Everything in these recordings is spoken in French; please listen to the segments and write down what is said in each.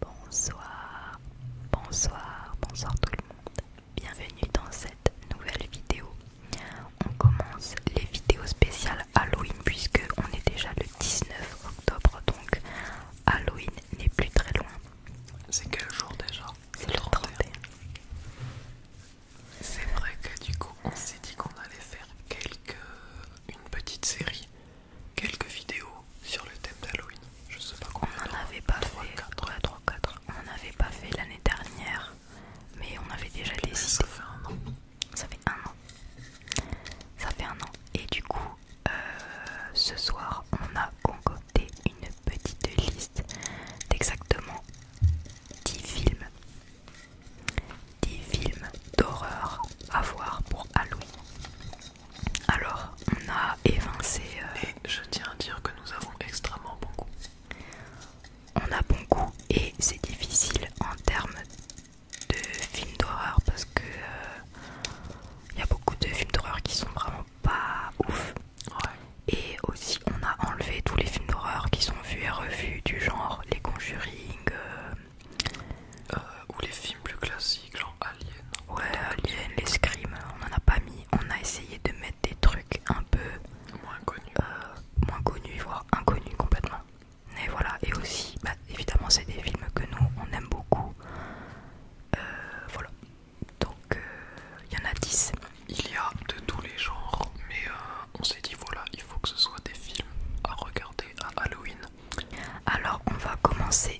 Bonsoir, bonsoir, bonsoir tout le monde. Bienvenue dans cette nouvelle vidéo. On commence les vidéos spéciales Halloween puisque on est déjà le 19 octobre donc Halloween n'est plus très loin. C'est quel jour déjà C'est le 31. C'est vrai que du coup on s'est dit qu'on allait faire quelques une petite série quelques vidéos sur le thème d'Halloween. Je sais pas combien. On n'en avait pas fait. On n'en avait pas fait l'année dernière, mais on avait déjà décidé. Ça fait un an. Ça fait un an. Ça fait un an. Et du coup, euh, ce soir, on a concocté une petite liste d'exactement 10 films des films d'horreur à voir pour Halloween. Alors, on a évincé. Mais euh, je tiens à dire que nous avons extrêmement bon On a bon et c'est difficile en termes de films d'horreur parce que il euh, y a beaucoup de films d'horreur qui sont vraiment pas ouf. Et aussi, on a enlevé tous les films d'horreur qui sont vus et revus, du genre Les Conjuring, euh, euh, ou les films plus classiques, genre Alien. Ouais, Alien, l'escrime, on en a pas mis. On a essayé de mettre des trucs un peu moins connus, euh, moins connus voire inconnus complètement. Et voilà, et aussi, bah, évidemment, c'est des films que nous on aime beaucoup. Euh, voilà, donc il y en a 10. Il y a de tous les genres, mais on s'est dit voilà, il faut que ce soit des films à regarder à Halloween. Alors on va commencer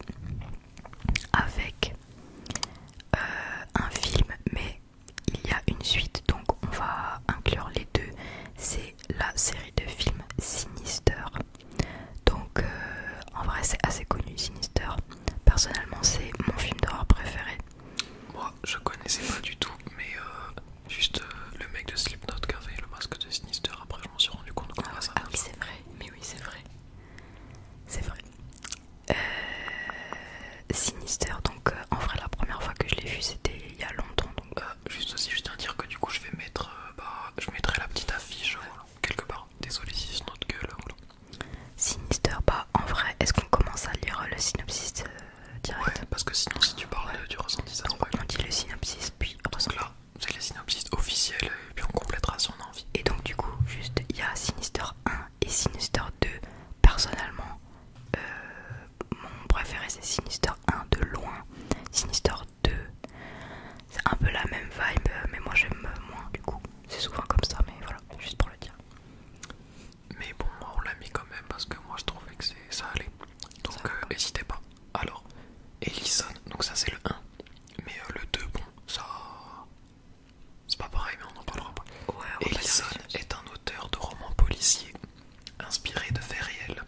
avec euh, un film, mais il y a une suite, donc on va inclure les deux. C'est la série de films Sinister. Donc euh, en vrai c'est assez connu Sinister. Personnellement c'est mon film d'horreur préféré. Moi je connaissais pas du tout, mais euh, juste le mec de Slipknot qui avait le masque de Sinister après je m'en suis rendu compte ah, ah, oui c'est vrai mais oui c'est vrai c'est vrai euh, Sinister donc euh, en vrai la première fois que je l'ai vu c'était il y a longtemps bah, juste aussi je tiens à dire que du coup je vais mettre euh, bah, je mettrai la petite affiche quelque part désolé si c'est notre gueule Sinister bah en vrai est-ce qu'on commence à lire le synopsis direct ouais parce que sinon si tu parles tu du ressenti ça donc, on dit le synopsis puis ressenti là c'est les synopsis officiels et puis on complétera son envie. Et donc du coup, juste il y a Sinister 1 et Sinister 2. Personnellement, euh, mon préféré c'est Sinister 1 de loin. Sinister 2, c'est un peu la même vibe, mais moi j'aime moins du coup. C'est souvent comme ça, mais voilà, juste pour le dire. Mais bon, moi on l'a mis quand même parce que moi je trouvais que c'est ça allait. Donc euh, n'hésitez pas. Alors, Ellison, donc ça c'est le 1. Mais euh, le 2, bon, ça. C'est pas pareil, mais on en parlera pas. Ellison est un auteur de romans policiers inspiré de faits réels.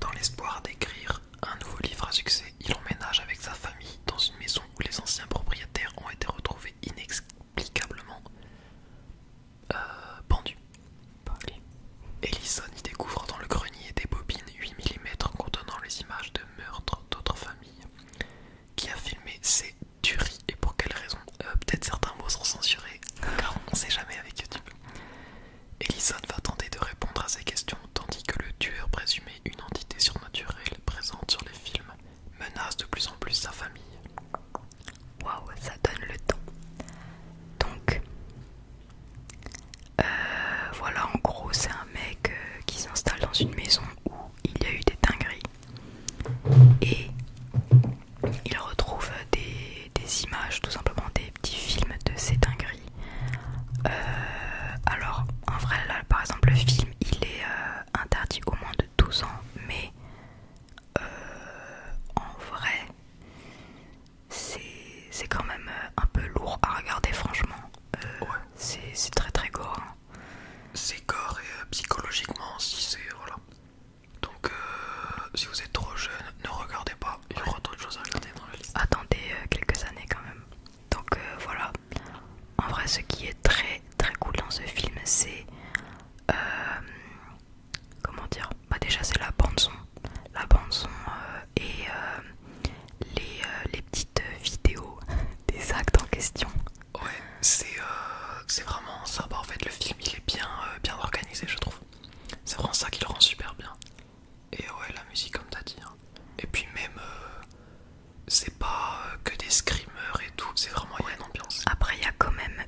Dans l'espoir d'écrire un nouveau livre à succès, il emménage avec sa famille dans une maison où les anciens propriétaires ont été retrouvés inexplicablement euh, pendu. Ellison y découvre dans le grenier des bobines 8 mm contenant les images de meurtres d'autres familles. Qui a filmé ces tueries et pour quelles raisons euh, Peut-être certains mots sont censurés, car on ne sait jamais avec YouTube. Ellison va tenter de répondre à ces questions, tandis que le tueur présumé, une entité surnaturelle présente sur les films, menace de plus en plus sa famille waouh, ça donne le temps Donc, euh, voilà, en gros, c'est un mec euh, qui s'installe dans une maison où il y a eu des dingueries et il retrouve des, images, tout simplement des petits films de ces dingueries. Euh, alors, en vrai, là, par exemple, le film, il est interdit au moins de 12 ans, mais en vrai, c'est quand même euh, un peu lourd à regarder, franchement. Euh, c'est très très gore. Hein. C'est gore et euh, psychologiquement, si c'est. Voilà. Donc, si vous êtes trop jeune, ne regardez pas. Il y aura d'autres choses à regarder Attendez quelques années quand même. Donc, voilà. En vrai, ce qui est très très cool dans ce film, c'est comment dire Bah déjà c'est la bande son, la bande son euh, et euh, euh, les, petites vidéos des actes en question. Ouais, c'est vraiment ça. Bah, en fait, le film il est bien, bien organisé, je trouve. C'est vraiment ça qui le rend super bien. Et ouais, la musique comme t'as dit. Hein. Et puis même, c'est pas que des screamers et tout. C'est vraiment une ambiance. Après, il y a quand même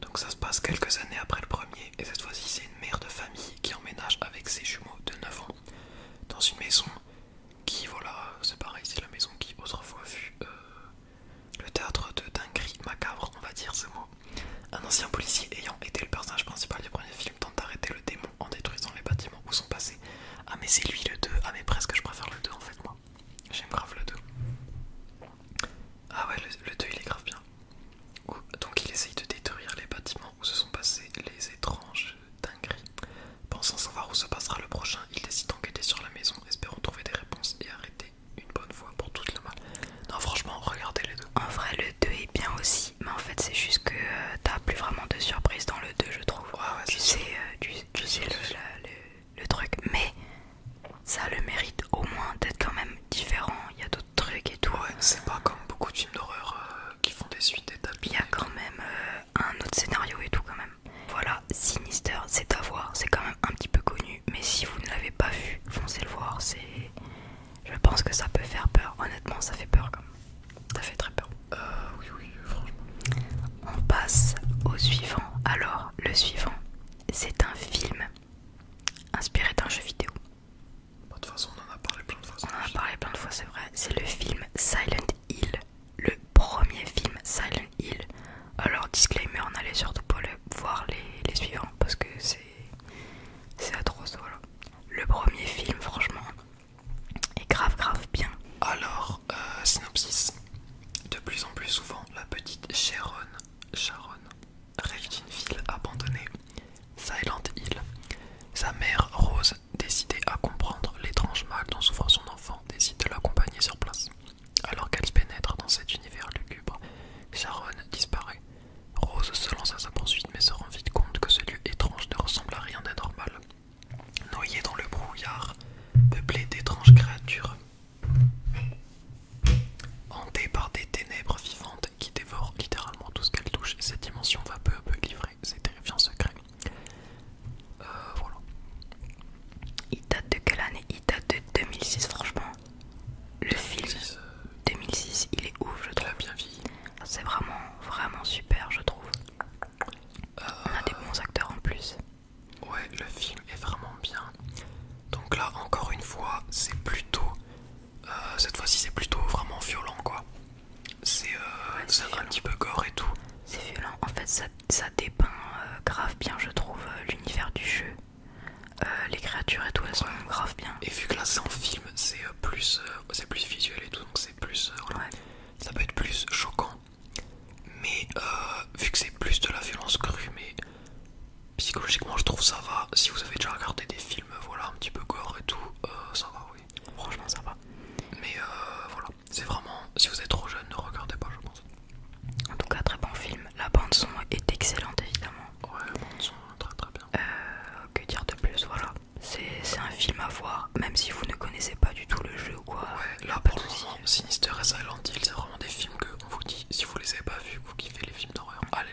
Donc ça se passe quelques années après le premier, et cette fois-ci c'est une mère de famille qui emménage avec ses jumeaux de 9 ans dans une maison qui, voilà, c'est pareil, c'est la maison qui autrefois fut euh, le théâtre de dinguerie macabre, on va dire ce mot. Un ancien policier ayant été le personnage principal du premier film tente d'arrêter le démon en détruisant les bâtiments où sont passés. Ah mais c'est lui le 2, ah mais presque je préfère le 2 en fait moi. J'aime grave le 2. Ah ouais le, le 2 il est grave bien. Donc il essaye de détruire les bâtiments où se sont passés les étranges dingueries. Pensant savoir où se passera le prochain, il décide d'enquêter sur la maison, espérant trouver des réponses et arrêter une bonne fois pour toute le mal. Non franchement, regardez les deux. En vrai le 2 est bien aussi, mais en fait c'est juste que euh, t'as plus vraiment de surprises dans le 2 je trouve. tu, sais, euh, le, le truc, mais ça a le mérite au moins d'être quand même différent, il y a d'autres trucs et tout. c'est pas comme beaucoup de films d'horreur euh, qui font des suites établies. Il y a quand même euh, un autre scénario et tout quand même. Voilà, Sinister, c'est à voir, c'est quand même un petit peu connu, mais si vous ne l'avez pas vu, foncez le voir, c'est... Je pense que ça peut faire peur, honnêtement ça fait peur quand même. Ça fait très peur. Euh, oui, oui, franchement. On passe au suivant. Alors, le suivant, c'est un film inspiré d'un jeu vidéo. Bah, de toute façon, on en a parlé plein de fois. On a parlé plein de fois, c'est vrai. C'est le film Silent Hill, le premier film Silent Hill. Alors, disclaimer, on allait surtout pas voir les, suivants parce que c'est atroce. Voilà. Le premier film, franchement, est grave, grave bien. Alors, euh, synopsis. De plus en plus souvent, la petite Sharon, Sharon rêve d'une ville abandonnée, Silent Hill. Sa mère, Rose, décidée à comprendre l'étrange mal dont souffre son enfant, décide de l'accompagner sur place. Alors qu'elle pénètre dans cet univers lugubre, Sharon disparaît. Rose se lance à sa poursuite mais se rend vite compte que ce lieu étrange ne ressemble à rien d'anormal. Noyée dans le brouillard, peuplée d'étranges créatures, Hantée par des ténèbres vivantes qui dévorent littéralement tout ce qu'elle touche, cette dimension va peu à peu livrer ses terrifiants secrets. Euh, voilà. Il date de quelle année Il date de 2006, franchement. Le film 2006, euh, il est ouf, je trouve. bien vieilli. C'est vraiment, vraiment super, je trouve. On a des euh, bons acteurs en plus. Ouais, le film est vraiment bien. Donc là, encore une fois, c'est plutôt euh, cette fois-ci, c'est plutôt vraiment violent, quoi. C'est euh, un petit peu gore et tout. C'est violent. En fait, ça, ça dépeint euh, grave bien, je trouve, l'univers du jeu. les créatures et tout, elles sont grave bien. Et vu que là, c'est en film, c'est plus, c'est plus visuel et tout, donc c'est plus, ça peut être plus choquant. Mais vu que c'est plus de la violence crue, mais psychologiquement je trouve ça va. Si vous avez déjà regardé des films, voilà, un petit peu gore et tout, euh, ça va, oui. Franchement ça va. Mais euh, voilà, c'est vraiment, si vous êtes trop jeune, ne regardez pas, je pense. En tout cas, très bon film. La bande son est excellente évidemment. Ouais, la bande son hein, très très bien. Euh, que dire de plus, voilà. C'est un film à voir, même si vous ne connaissez pas du tout le jeu ou quoi. là pour le Sinister et Silent Hill, c'est vraiment des films que on vous dit, si vous les avez pas vus, vous kiffez les films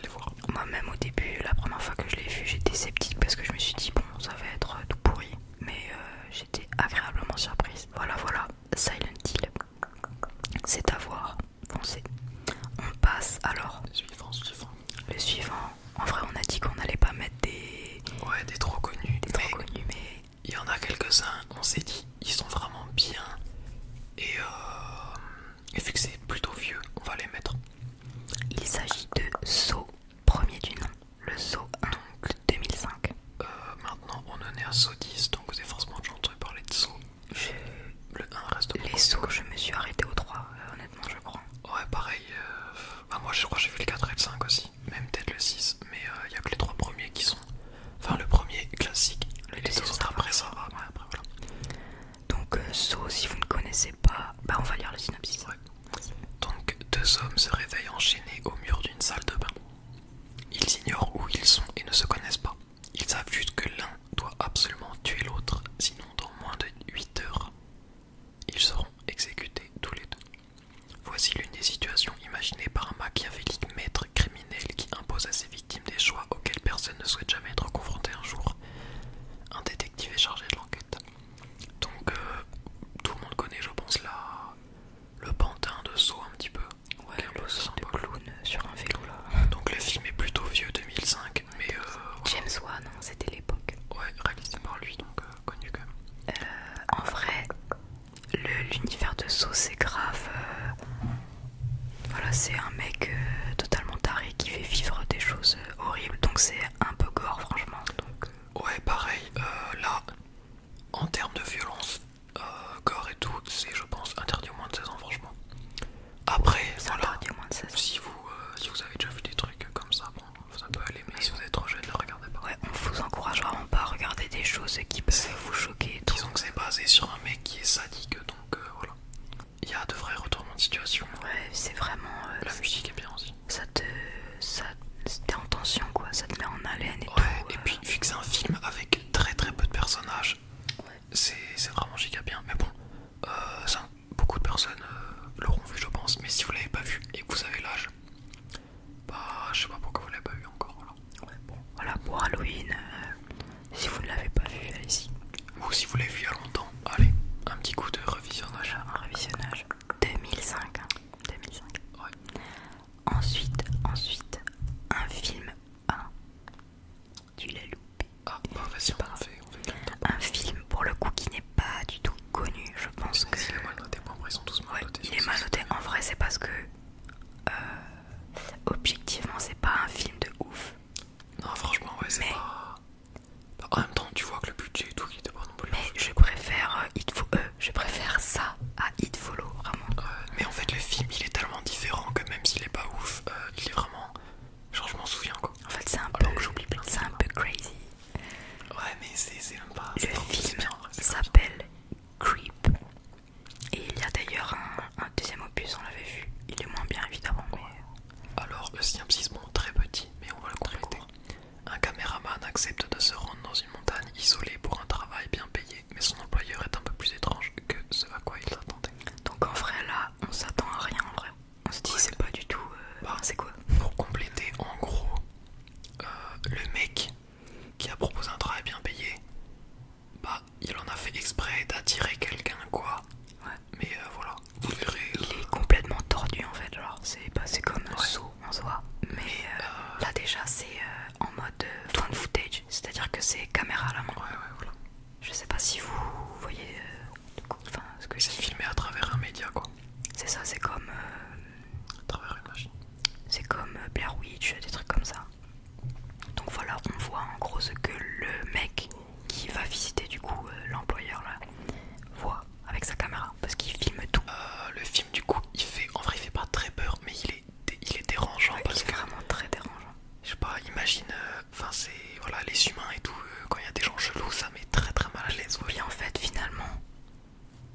les voir. Moi-même au début, la première fois que je l'ai vu, j'étais sceptique parce que je me suis dit, bon, ça va être euh, tout pourri. Mais euh, j'étais agréablement surprise. Voilà, voilà, Silent Hill. C'est à voir, On passe alors. Le suivant, suivant. Le suivant. En vrai, on a dit qu'on n'allait pas mettre des. Ouais, des trop connus. Des trop connus, mais. Il y en a quelques-uns, on s'est dit, ils sont vraiment bien. Et euh, et vu que c'est plutôt vieux, on va les mettre. Il s'agit de Saut, premier du nom, le Saut 1 2005. maintenant, on en est à Saut 10, donc vous avez forcément entendu parler de Saut. Le 1 reste Les je me suis arrêté au 3, euh, honnêtement, je crois. Ouais, pareil. Euh, bah, moi, je crois que j'ai vu le 4 et le 5 aussi, même peut-être le 6, mais il euh, n'y a que les 3 premiers qui sont. Enfin, le premier classique, les autres après ça après voilà. Donc, un euh, si vous ne connaissez pas, bah on va lire le synopsis. Donc, deux hommes se réveillent enchaînés au mur d'une salle de bain. Ils ignorent où ils sont et ne se connaissent pas. Ils savent juste que l'un doit absolument tuer l'autre, sinon dans moins de 8 heures, ils seront exécutés tous les deux. Voici l'une des situations imaginées par un machiavélique maître criminel qui impose à victimes victime des choix auxquels personne ne souhaite jamais être confronté un jour. Un détective est chargé de l'enquête. Donc euh, tout le monde connaît, je pense, là le pantin de saut un petit peu. Ouais, un peu de sur un vélo là. Donc le film est plutôt vieux, 2005, mais... Euh, James Wan, hein, c'était l'époque. Ouais, réalisé par lui, donc euh, connu quand en vrai, l'univers de saut, c'est grave... Voilà, c'est un mec euh, totalement taré qui fait vivre des choses euh, horribles, donc c'est un peu gore, franchement. Donc, euh, Ouais, pareil, là, en termes de violence, gore et tout, c'est, je pense, interdit au moins de 16 ans, franchement. Après, voilà, moins de Si, vous, si vous avez déjà vu des trucs comme ça, bon, ça peut aller, mais si vous êtes trop jeune, ne regardez pas. Ouais, on vous encourage vraiment pas à regarder des choses qui peuvent vous choquer Disons que c'est basé sur un mec qui est sadique, donc voilà il y a de vrais retournements de situation. Ouais, c'est vraiment. Euh, la musique est bien aussi. Ça te. Ça, en tension quoi, ça te met en haleine et Et euh. puis, vu que c'est un film avec très très peu de personnages, c'est vraiment giga bien. Mais bon, euh, ça, beaucoup de personnes l'auront vu, je pense. Mais si vous l'avez pas vu et que vous avez l'âge, bah je sais pas pourquoi vous l'avez pas vu encore. Voilà. bon, voilà pour Halloween. Si vous ne l'avez pas vu, allez-y. Ou si vous l'avez vu il y a longtemps, allez, un petit coup de revisionnage. Un revisionnage 2005. 2005. Hein. Ouais. Ensuite, ensuite, un film 1. Tu l'as loupé. Ah, bah vas-y, on, Un film pour le coup qui n'est pas du tout connu. Je pense que. Il est mal noté, bon, ils sont tous mal Il est En vrai, c'est parce que. Euh, objectivement, c'est pas un film de ouf. Non, franchement, ouais, c'est pas. en même temps, tu vois que le budget et tout, qui était pas non plus. Mais je préfère euh, euh, je préfère ça à It Follow, vraiment. mais en fait, le film il est tellement différent que même s'il est pas ouf, euh, il est vraiment. Genre, je m'en souviens quoi. En fait, c'est un, peu... C'est un peu crazy. Ouais, mais c'est même pas. Le film hein, s'appelle Creep. Et il y a d'ailleurs un, un deuxième opus, on l'avait vu. Il est moins bien évidemment, mais. Alors le synapsismon très petit, mais on va le compléter. Un caméraman accepte de se rendre dans une montagne isolée pour un travail bien payé, mais son employeur est un peu plus étrange que ce à quoi il s'attendait. Donc en vrai là, on s'attend à rien en vrai. On se dit c'est pas du tout... Euh, bah, c'est quoi Pour compléter, en gros, euh, le mec qui a proposé un travail bien payé, bah il en a fait exprès d'attirer quelqu'un quoi mais euh, voilà, vous verrez. Il est complètement tordu en fait, genre c'est passé comme un on en soi, mais euh, euh, là déjà c'est en mode point footage, c'est-à-dire que c'est caméra à la main. Je sais pas si vous voyez ce que c'est filmé à travers un média quoi. C'est ça, c'est comme à travers une machine. C'est comme Blair Witch, des trucs comme ça. Donc voilà, on voit en gros ce que le mec qui va visiter du coup euh, l'employeur là voit avec sa caméra parce qu'il filme tout. Euh, le film du coup il fait en vrai il fait pas très peur mais il est il est dérangeant parce vraiment très dérangeant. Je sais pas imagine euh, enfin c'est voilà les humains et tout quand il y a des gens chelous ça met très très mal à l'aise. Oui en fait finalement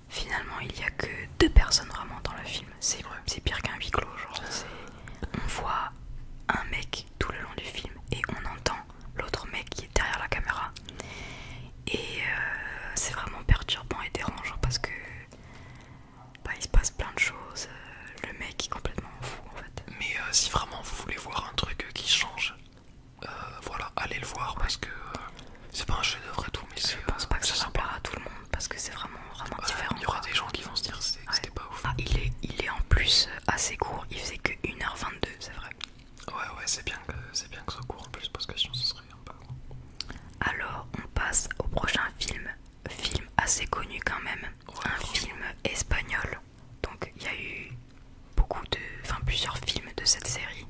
finalement il y a que deux personnes vraiment dans le film c'est c'est pire qu'un huis clos genre on voit un mec tout le long du film et on entend l'autre mec qui est derrière la caméra et euh, c'est vraiment perturbant et dérangeant parce que bah, il se passe plein de choses euh, le mec est complètement fou en fait mais euh, si vraiment vous voulez voir un truc qui change voilà allez le voir parce que c'est pas un chef d'œuvre et tout mais je pense pas que ça, plaira à tout le monde parce que c'est vraiment vraiment différent il y aura des gens qui vont se dire ah, il, est, il est en plus euh, assez court, il faisait que 1h22, c'est vrai. Ouais, ouais, c'est bien, bien que ce court en plus, parce que sinon ce serait un peu Alors, on passe au prochain film, film assez connu quand même, un film espagnol. Donc, il y a eu beaucoup de, enfin plusieurs films de cette série.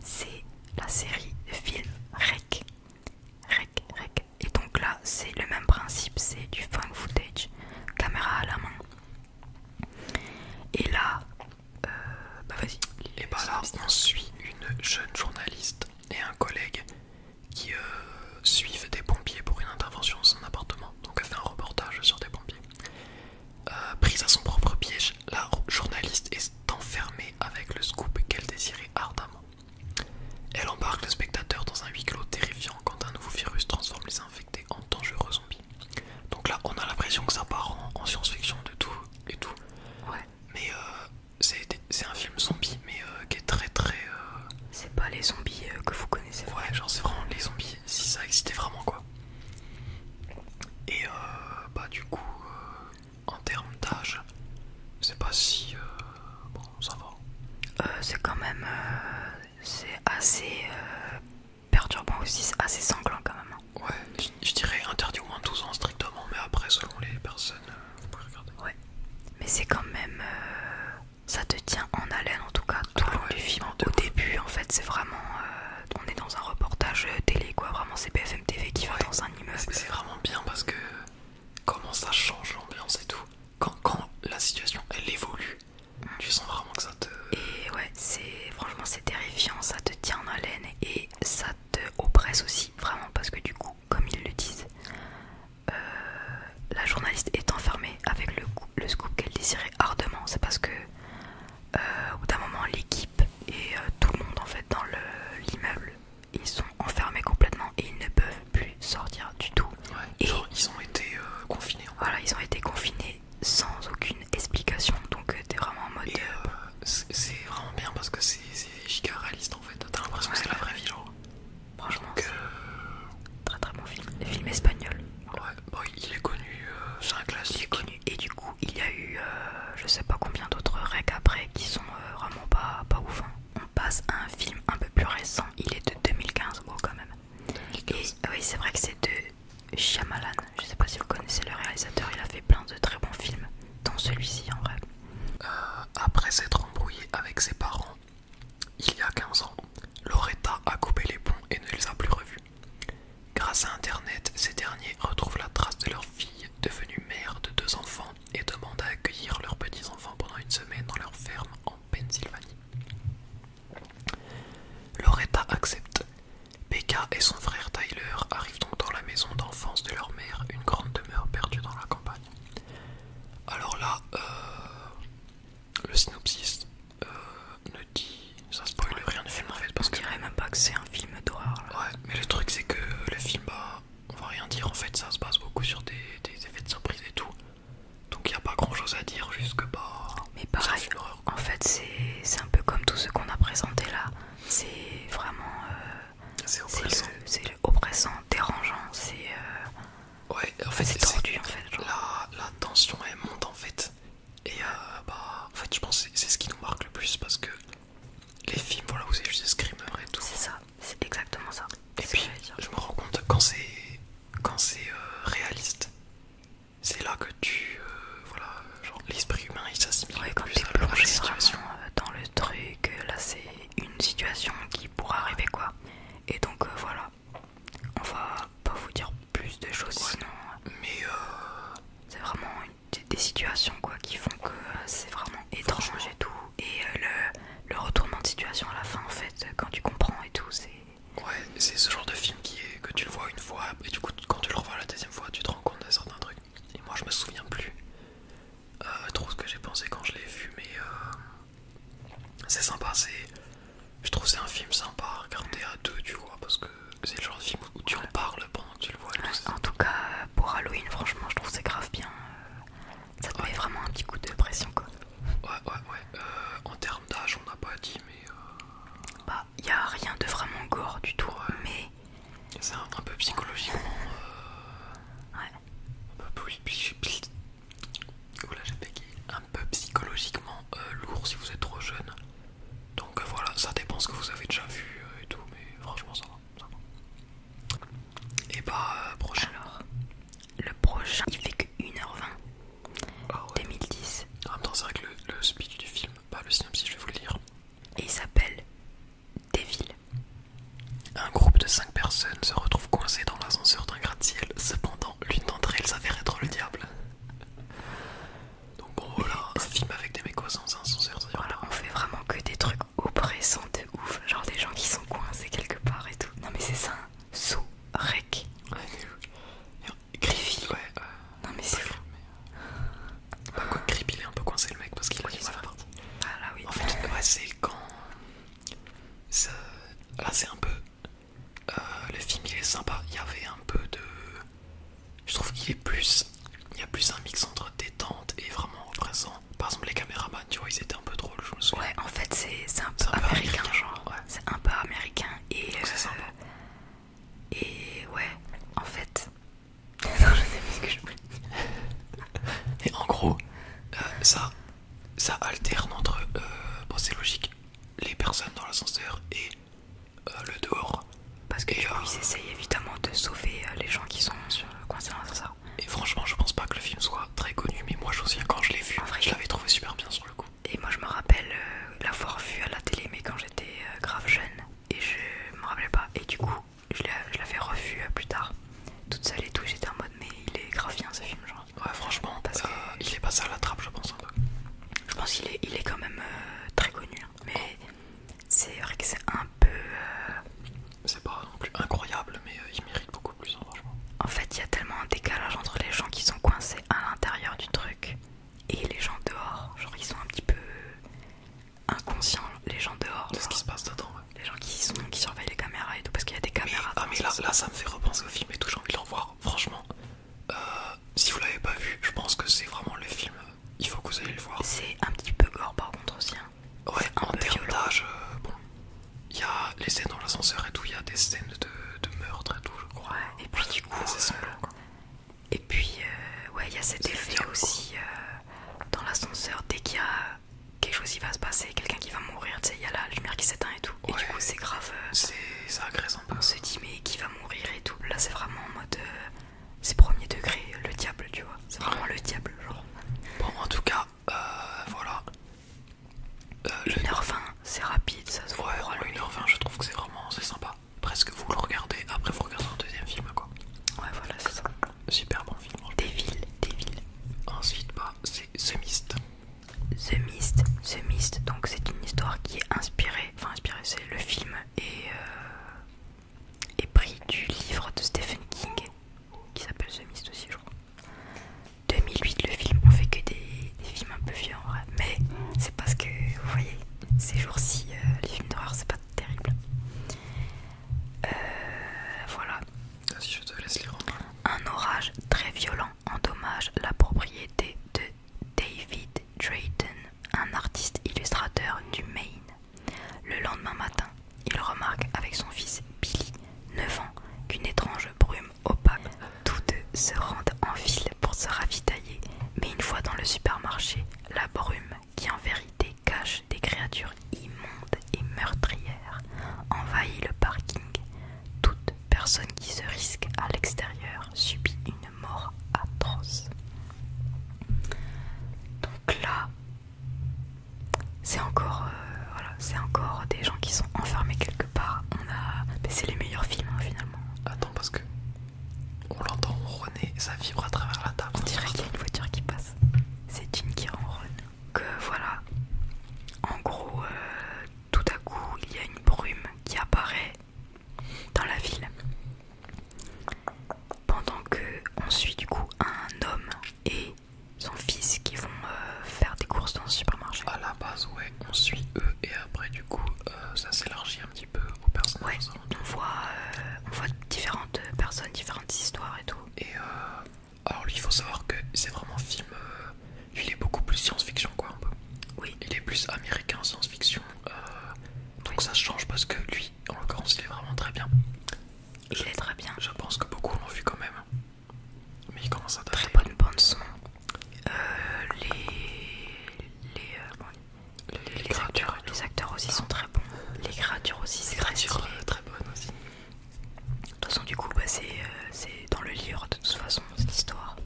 C'est la série film Rec. Rec, Rec. Et donc là, c'est le même principe, c'est du fan footage, caméra à la main. Et là, euh, bah vas-y. Et bah on suit une jeune journaliste et un collègue qui euh, suivent des pompiers pour une intervention dans son appartement. Donc elle fait un reportage sur des pompiers. Euh, prise à son propre piège, la journaliste est enfermée avec le scoop qu'elle désirait ardemment. Elle embarque le spectateur dans un huis clos terrifiant quand un nouveau virus transforme les infectés en dangereux zombie. Donc là, on a l'impression que ça part en, science-fiction de tout et tout. Ouais. Mais euh, c'est un film zombie, mais euh, qui est très très. Euh, c'est pas les zombies que vous connaissez. Ouais, genre c'est vraiment les zombies si ça existait vraiment quoi. Et bah du coup, en termes d'âge, c'est pas si. Bon, ça va. c'est quand même c'est assez euh, perturbant aussi, assez sanglant quand même. Hein. Ouais, je, dirais interdit au moins 12 ans strictement, mais après selon les personnes, euh, regarder. Ouais, mais c'est quand même... Euh, ça te tient en haleine en tout cas, tout ah le long du film. Au début en fait, c'est vraiment... on est dans un reportage télé quoi, vraiment c'est BFM TV qui va dans un immeuble. C'est vraiment bien parce que comment ça change l'ambiance et tout. quand la situation elle évolue, tu sens vraiment que ça te. Et ouais, c'est franchement c'est terrifiant, ça te tient en haleine et ça te oppresse aussi, vraiment, parce que du coup, comme ils le disent, euh, la journaliste est enfermée avec le, scoop qu'elle désirait ardemment. C'est parce que euh, au bout d'un moment, l'équipe et euh, tout le monde en fait dans l'immeuble, ils sont enfermés complètement et ils ne peuvent plus sortir du tout. ils ont été euh, confinés. voilà, ils ont été confinés sans aucune explication. Donc euh, t'es vraiment en mode. Euh, c'est vraiment bien parce que c'est giga réaliste en fait. T'as l'impression que c'est la vraie vie, genre. Franchement, très très bon film. Film espagnol. Ouais, bah, il est connu, c'est un classique. connu, et du coup, il y a eu je sais pas combien d'autres règles après qui sont vraiment pas, pas ouf. Hein. On passe à un film un peu plus récent, il est de 2015, bon quand même oui, c'est vrai que c'est de Shyamalan. Je sais pas si vous connaissez le réalisateur, il a fait plein de très bons films, dont celui-ci en vrai. Euh, après s'être embrouillé avec ses parents il y a 15 ans, Loretta a coupé les ponts et ne les a plus revus. Grâce à internet, ces derniers retrouvent la trace de leur fille devenue mère de deux enfants et demandent à accueillir leurs petits-enfants pendant une semaine dans leur ferme en Pennsylvanie. Loretta accepte. P.K. et son frère Tyler arrivent donc dans la maison d'enfance de leur mère, une grande demeure perdue dans la campagne. Alors là, euh, le synopsis euh, ne dit, ça spoil rien de film en fait, parce on dirait même pas que c'est un film d'horreur. Ouais, mais le truc c'est que le film, bah, on va rien dire en fait, ça se base beaucoup sur des effets de surprise et tout. Donc il n'y a pas grand chose à dire, jusque que bah, Mais pareil, en fait, c'est un peu comme tout ce qu'on a présenté là. C'est vraiment. Euh, c'est oppressant. dérangeant, c'est. Euh, ouais, en fait, c'est tordu en fait. La, tension elle monte en fait. Et euh, bah, en fait, je pense que c'est ce qui nous marque le plus parce que les films, voilà, vous avez juste des screamers et tout. C'est ça, c'est exactement ça. Et puis, je me rends compte quand c'est quand c'est euh, réaliste, c'est là que tu. Euh, voilà, genre l'esprit humain il s'assimile quand tu situation. Euh, dans le truc. Là, c'est une situation qui pourrait arriver quoi. Et donc voilà, on va pas vous dire plus de choses sinon. Mais c'est vraiment des situations quoi qui font que c'est vraiment étrange et tout. Et le, le retournement de situation à la fin en fait, quand tu comprends et tout, c'est Ouais, c'est ce genre de film qui est, que tu le vois une fois et du coup quand tu le revois la deuxième fois tu te rends compte de certains trucs. Et moi je me souviens plus euh, trop ce que j'ai pensé quand je l'ai vu mais euh, c'est sympa, c'est... Je trouve c'est un film sympa à regarder à deux tu vois parce que c'est le genre de film où tu en parles pendant que tu le vois. en tout cas pour Halloween franchement je trouve c'est grave bien. Ça te vraiment un petit coup de pression quoi. Ouais ouais ouais. Euh, en termes d'âge, on n'a pas dit, mais. Euh, bah, il n'y a rien de vraiment gore du tout, mais. C'est un, peu psychologiquement. Ouais. Un j'ai Un peu psychologiquement lourd si vous êtes trop jeune. Donc euh, voilà, ça dépend ce que vous avez déjà vu et tout, mais franchement, ça va. Et bah, prochain. le prochain, il fait que 1h20. 2010. Ah en même c'est vrai que le, le speech du film, pas le synopsis, je vais vous le lire. Et il s'appelle Devil. Un groupe de 5 personnes se retrouve coincé dans l'ascenseur d'un gratte-ciel. Cependant, l'une d'entre elles s'avère être le diable. Donc voilà, un film avec des mecs coincés dans un ascenseur. Alors on fait vraiment que des trucs oppressants de ouf. Genre des gens qui sont coincés quelque part et tout. Non mais c'est ça, un hein. saut Rec. Griffy, euh, non, mais c'est fou. Euh, Pourquoi Griffy, il est un peu coincé le mec parce qu'il a du mal à partir. Ah là, oui. En fait, c'est quand. Là, c'est un peu. Euh, le film, il est sympa. Il y avait un peu de. Je trouve qu'il est plus. Il y a plus un mix entre détente et vraiment présent. Par exemple, les caméramans, tu vois, ils étaient un peu drôles, je me souviens. Ouais, en fait, c'est un, un peu américain, genre. C'est un peu américain et euh, et ouais en fait non je sais plus ce que je voulais dire et en gros euh, ça alterne entre euh, bon c'est logique les personnes dans l'ascenseur et le dehors parce que essayent évidemment de sauver les gens qui sont sur le dans l'ascenseur et franchement je pense pas que le film soit très connu mais moi je me souviens quand je l'ai vu je l'avais trouvé super bien sur le coup et moi je me rappelle euh, l'avoir vu à la télé mais quand j'étais euh, grave jeune et je me rappelais pas et du coup je l'avais revu euh, plus tard toute seule et tout j'étais en mode mais il est grave bien ce film genre. Ouais franchement il est passé à la trappe je pense. peu je pense qu'il est, il est quand même très connu hein. mais c'est vrai que c'est un peu... C'est pas non plus incroyable mais il mérite beaucoup. Hein, en fait, il y a tellement un décalage entre les gens qui sont coincés à l'intérieur du truc et les gens dehors. Genre, ils sont un petit peu inconscients, les gens dehors. De ce qui se passe dedans, Les gens qui, sont, qui surveillent les caméras et tout, parce qu'il y a des caméras. ah, mais là, là, ça me fait repenser au film et tout, j'ai envie de le revoir, franchement. Euh, si vous l'avez pas vu, je pense que c'est vraiment le film, euh, il faut que vous allez le voir. C'est un petit peu gore par contre aussi. Hein. Ouais, en termes euh, bon, il y a les scènes dans l'ascenseur et tout, il y a des scènes de, meurtre et tout, je crois. et puis du coup, euh, et puis euh, ouais, il y a cet effet aussi euh, dans l'ascenseur dès qu'il y a quelque chose qui va se passer, quelqu'un qui va mourir, tu sais, il y a la lumière qui s'éteint et tout. et du coup, c'est grave. c'est ça On se dit mais qui va mourir et tout. Là, c'est vraiment en mode c'est premier degré, le diable, tu vois. C'est vraiment le diable, genre. Bon, en tout cas, voilà. 1h20, euh, c'est rapide, ça se voit. 1h20, je trouve que c'est vraiment c'est sympa. Presque vous le regardez, après vous regardez un deuxième film, quoi. Ouais, voilà, c'est ça. Super bon film. Des villes, des villes. Ensuite, bah, c'est The Mist. The Mist, The Mist, donc c'est une histoire qui est inspirée, enfin inspirée, c'est le film et, et euh, pris du livre de Stephen King qui s'appelle The Mist aussi, je crois. 2008 le film, on fait que des, films un peu en vrai, mais c'est parce que vous voyez, ces jours-ci, euh, les films d'horreur c'est pas terrible. Euh, voilà. Un orage très violent endommage la propriété de David Drayton, un artiste illustrateur du Maine. Le lendemain matin, il remarque avec son fils Billy, 9 ans, qu'une étrange brume opaque Tous deux se rendent en ville pour se ravitailler, mais une fois dans le supermarché, la brume, qui en vérité cache des créatures immondes et meurtrières, envahit le parking. Toute personne qui se risque à l'extérieur subit une mort atroce. Donc là, c'est encore, euh, c'est encore des gens qui sont enfermés quelque pas on a mais c'est les meilleurs films hein, finalement attends parce que on l'entend ronner ça vibre à travers la table on dirait qu'il y a une voiture qui passe c'est une qui ronne que voilà en gros euh, tout à coup il y a une brume qui apparaît dans la ville pendant que on suit du coup un homme et son fils qui vont euh, faire des courses dans le supermarché. À la base, ouais, on suit eux et après du coup euh, ça s'élargit un petit peu aux personnes. on voit, euh, on voit différentes personnes, différentes histoires et tout. Et euh, alors lui il faut savoir que c'est vraiment film, il est beaucoup plus science-fiction quoi un Oui. Il est plus américain science-fiction, donc ça change parce que lui en l'occurrence il est vraiment très bien. Il est très bien. Je pense que beaucoup l'ont vu quand même. Mais il commence à Très bonne bande son. Euh, les... Les, euh, les, acteurs, aussi sont très bons. Les créatures aussi, c'est très stylé. Euh, très bonnes aussi. De toute façon, du coup, bah, c'est dans le livre, de toute façon, cette histoire.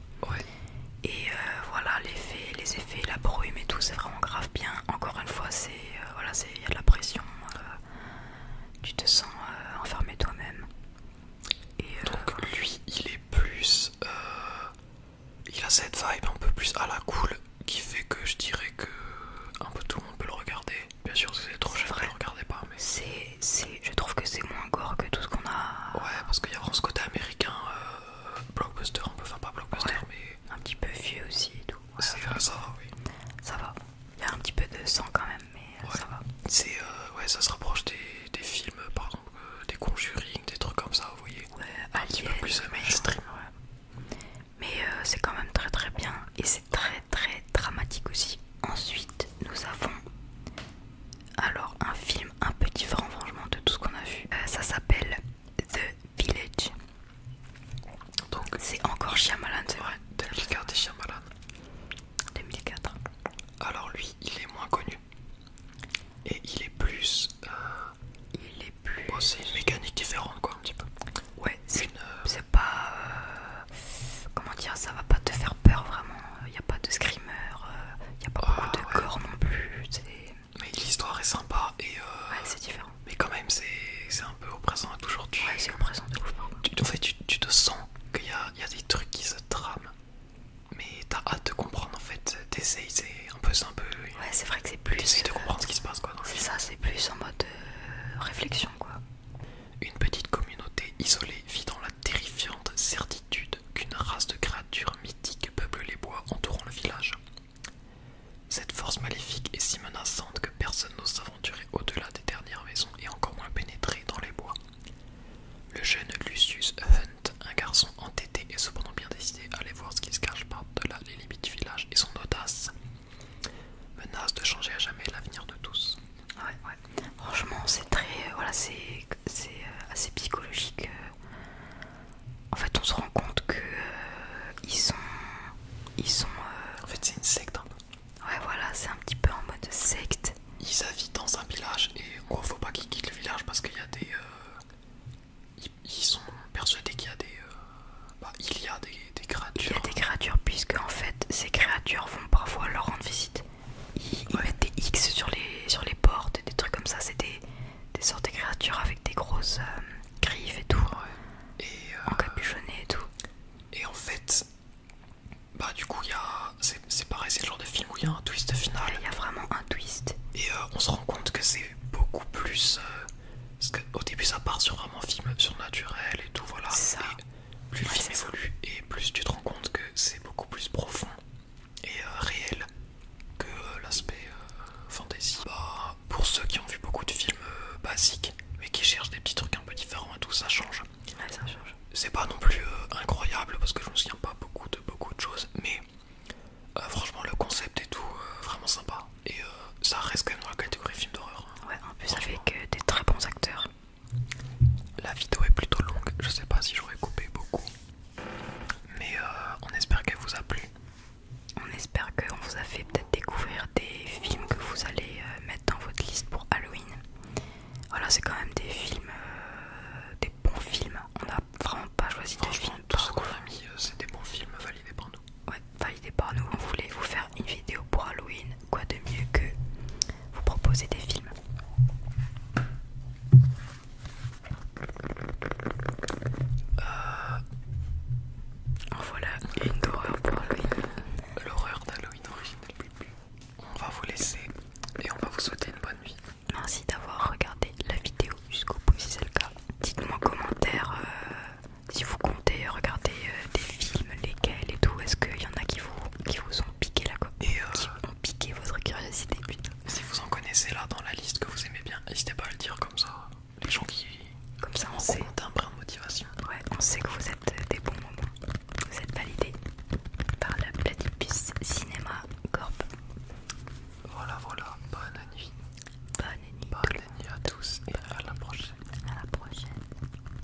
Et voilà, les effets, les effets, la brume et tout, c'est vraiment grave bien. Encore une fois, c'est... voilà, il y a de la pression. tu te sens enfermé toi-même. Et, Donc lui, il est plus. Euh, il a cette vibe un peu plus à la cool qui fait que je dirais que un peu tout le monde peut le regarder. Bien sûr, si c'est trop cher, ne le pas. c'est c'est je trouve que c'est moins gore que tout ce qu'on a. Ouais, parce qu'il y a ce côté américain, euh, blockbuster un peu, enfin pas blockbuster, mais. Un petit peu vieux aussi et tout. ça, va, oui. Ça va. Il y a un petit peu de sang quand même mais ça C'est euh, ouais, ça se rapproche des, films, par exemple, euh, des Conjuring, des trucs comme ça, vous voyez. un petit peu plus mainstream. Mais euh, c'est quand même très très bien et c'est très très dramatique aussi. Ensuite, nous avons alors un film un peu différent, franchement, de tout ce qu'on a vu. ça s'appelle The Village. Donc c'est encore Shyamalan, c'est vrai. des chiens Shyamalan. 2004. Alors lui, il est moins connu. Et il est plus... Euh, il est plus... c'est une mécanique différente quoi un petit peu. Ouais, c'est une... Euh, pas... Euh, comment dire, ça va pas te faire peur vraiment. Il y a pas de screamer, il a pas beaucoup de ah, corps non plus. Mais l'histoire est sympa et... c'est différent. Mais quand même, c'est un peu présent à toujours. Ouais, c'est au présent ouf. Tu, en fait, tu, te sens qu'il y y a des trucs qui se trament mais t'as hâte de comprendre en fait, t'essayes, c'est un peu, un peu. Ouais, c'est vrai que c'est plus. de comprendre ce qui se passe quoi. C'est ça, c'est plus en mode euh, réflexion quoi. Une petite communauté isolée vit dans la terrifiante certitude qu'une race de créatures mythiques peuple les bois entourant le village. Cette force maléfique est si menaçante que personne n'ose s'aventurer au-delà des dernières maisons et encore moins pénétrer dans les bois. Le jeune Lucius Hunt, un garçon entêté et cependant bien décidé à aller voir ce qui se cache par-delà les limites du village et son audace, menace de changer à jamais l'avenir de tous. Ouais, ouais. Franchement, c'est très. Euh, voilà, c'est euh, assez psychologique. Euh. en fait, on se rend compte que. ils sont. Ils sont. en fait, c'est une secte. Hein. Ouais, voilà, c'est un petit peu en mode secte. Ils habitent dans un village et on faut pas qu'ils quittent le village parce qu'il y a des. Euh, ils, sont persuadés qu'il y a des. Euh, bah, il y a des, créatures. Il y a des créatures, puisque en fait, ces créatures vont parfois leur rendre visite. Ils, vont des X sur les, sur les portes, des trucs comme ça. C'est des, des sortes de créatures avec des grosses euh, griffes et tout. Ouais. Et, encapuchonnées et tout. Et en fait, bah du coup, c'est pareil, c'est le genre de film où il y a un twist final. Il y a vraiment un twist. Et euh, on se rend compte que c'est beaucoup plus... Euh, parce qu'au début, ça part sur vraiment film surnaturel et tout, voilà. Ça. plus le film évolue et plus tu te rends compte que c'est beaucoup plus profond et euh, réel que l'aspect fantasy. Bah, pour ceux qui ont vu beaucoup de films basiques, mais qui cherchent des petits trucs un peu différents et tout, ça change. C'est pas non plus euh, incroyable parce que je me souviens pas beaucoup de beaucoup de choses, mais euh, franchement le concept est tout euh, vraiment sympa et ça reste quand même dans la catégorie film d'horreur. Hein. Ouais, en plus avec des très bons acteurs. La vidéo est plutôt longue, je sais pas si j'aurais coupé beaucoup, mais on espère qu'elle vous a plu. On espère qu'on vous a fait peut-être découvrir des films que vous allez mettre dans votre liste pour Halloween. Voilà, c'est quand même des films, euh, des bons films. On n'a vraiment pas choisi de films. Tout ce qu'on a mis, euh, c'est des bons films validés par nous. Ouais, validés par nous. On voulait vous faire une vidéo pour Halloween. Quoi de mieux que vous proposer des films euh, voilà une d'horreur pour Halloween. L'horreur d'Halloween originale on va vous laisser et on va vous souhaiter une bonne nuit. Merci d'avoir regardé la vidéo jusqu'au bout si c'est le cas. Dites-moi en commentaire euh, si vous comptez regarder euh, des films, lesquels et tout. Est-ce qu'il y en a qui vous, ont piqué la curiosité euh, qui ont piqué votre curiosité Si vous en connaissez là dans la liste que vous aimez bien, n'hésitez pas à le dire comme ça. Les gens qui... Comme ça on un brin de motivation. on sait que vous êtes des bons moments. Vous êtes validé par la Platypus Cinéma Corp. Voilà, voilà. Bonne nuit. Bonne nuit. Bonne nuit à tous et à la prochaine. À la prochaine.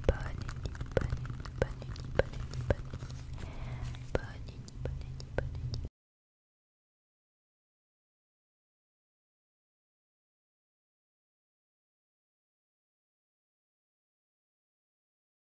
Bonne nuit. Bonne nuit. Bonne nuit. Bonne nuit. Bonne nuit. Bonne nuit. Bonne nuit. Bonne nuit. Bonne nuit.